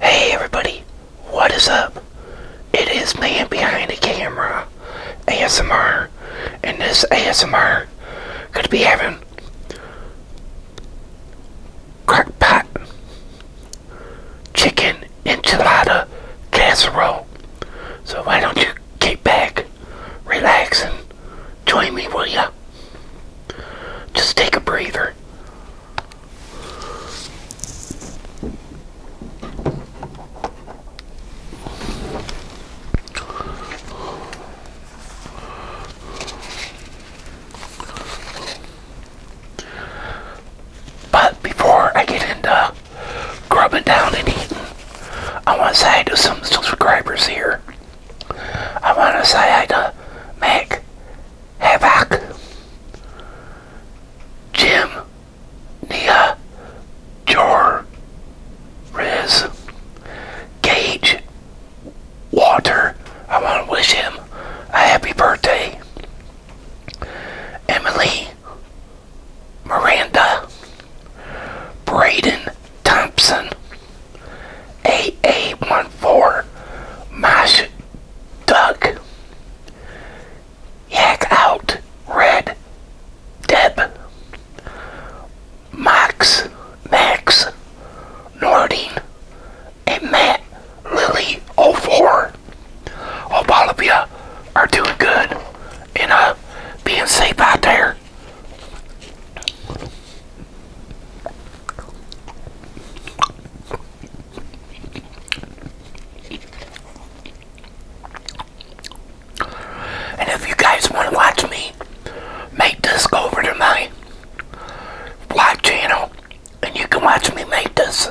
Hey everybody, what is up? It is Man Behind the Camera ASMR, and this ASMR could be having crockpot chicken enchilada casserole. So why don't you get back, relax, and join me, will ya? Just take a breather. But before I get into grubbing down and eating, I want to say to some subscribers here. I want to say to Mac Havoc, Jim, Nia, Jor, Riz, Gage, Walter. I want to wish him a happy birthday. Emily, Miranda, Braden Thompson, AA14 Mosh Duck Yak Out Red Deb Max Max Nordine and Matt Lily 04 all of are doing good and uh being safe out there. And if you guys want to watch me make this, go over to my black channel and you can watch me make this.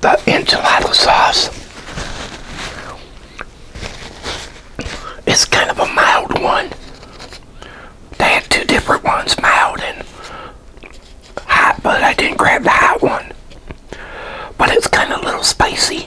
The enchilada sauce is kind of a mild one. They had two different ones, mild and hot, but I didn't grab the hot one. But it's kind of a little spicy.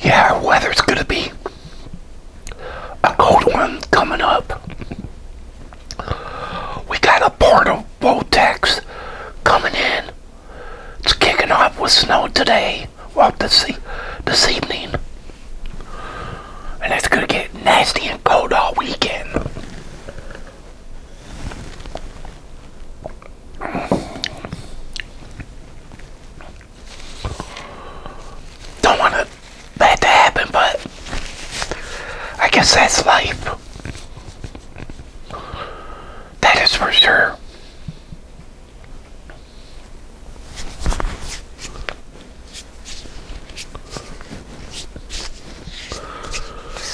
Yeah, our weather's gonna be a cold one coming up. We got a portal vortex coming in it's kicking off with snow today. Well, this, e this evening. And it's going to get nasty and cold all weekend. Don't want that to happen, but I guess that's life. That is for sure.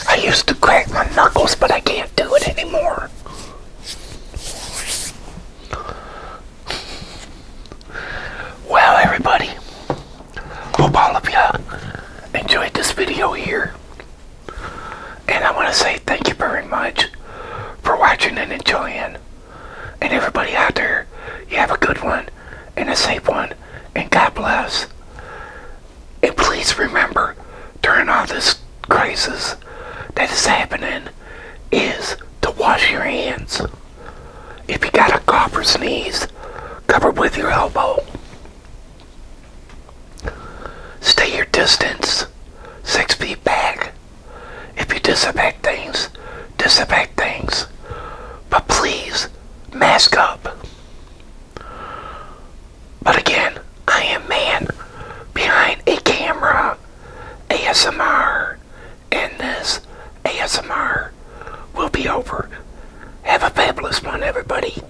I used to crack my knuckles, but I can't do it anymore. Well, everybody, hope all of you enjoyed this video here. And I want to say thank you very much for watching and enjoying. And everybody out there, you have a good one and a safe one. And God bless. And please remember, during all this crisis that is happening, is to wash your hands. If you got a cough or sneeze, cover with your elbow. Stay your distance, six feet back. If you disinfect things, disinfect things. But please, mask up. But again, I am man behind a camera. ASMR. And this ASMR will be over. Have a fabulous one, everybody.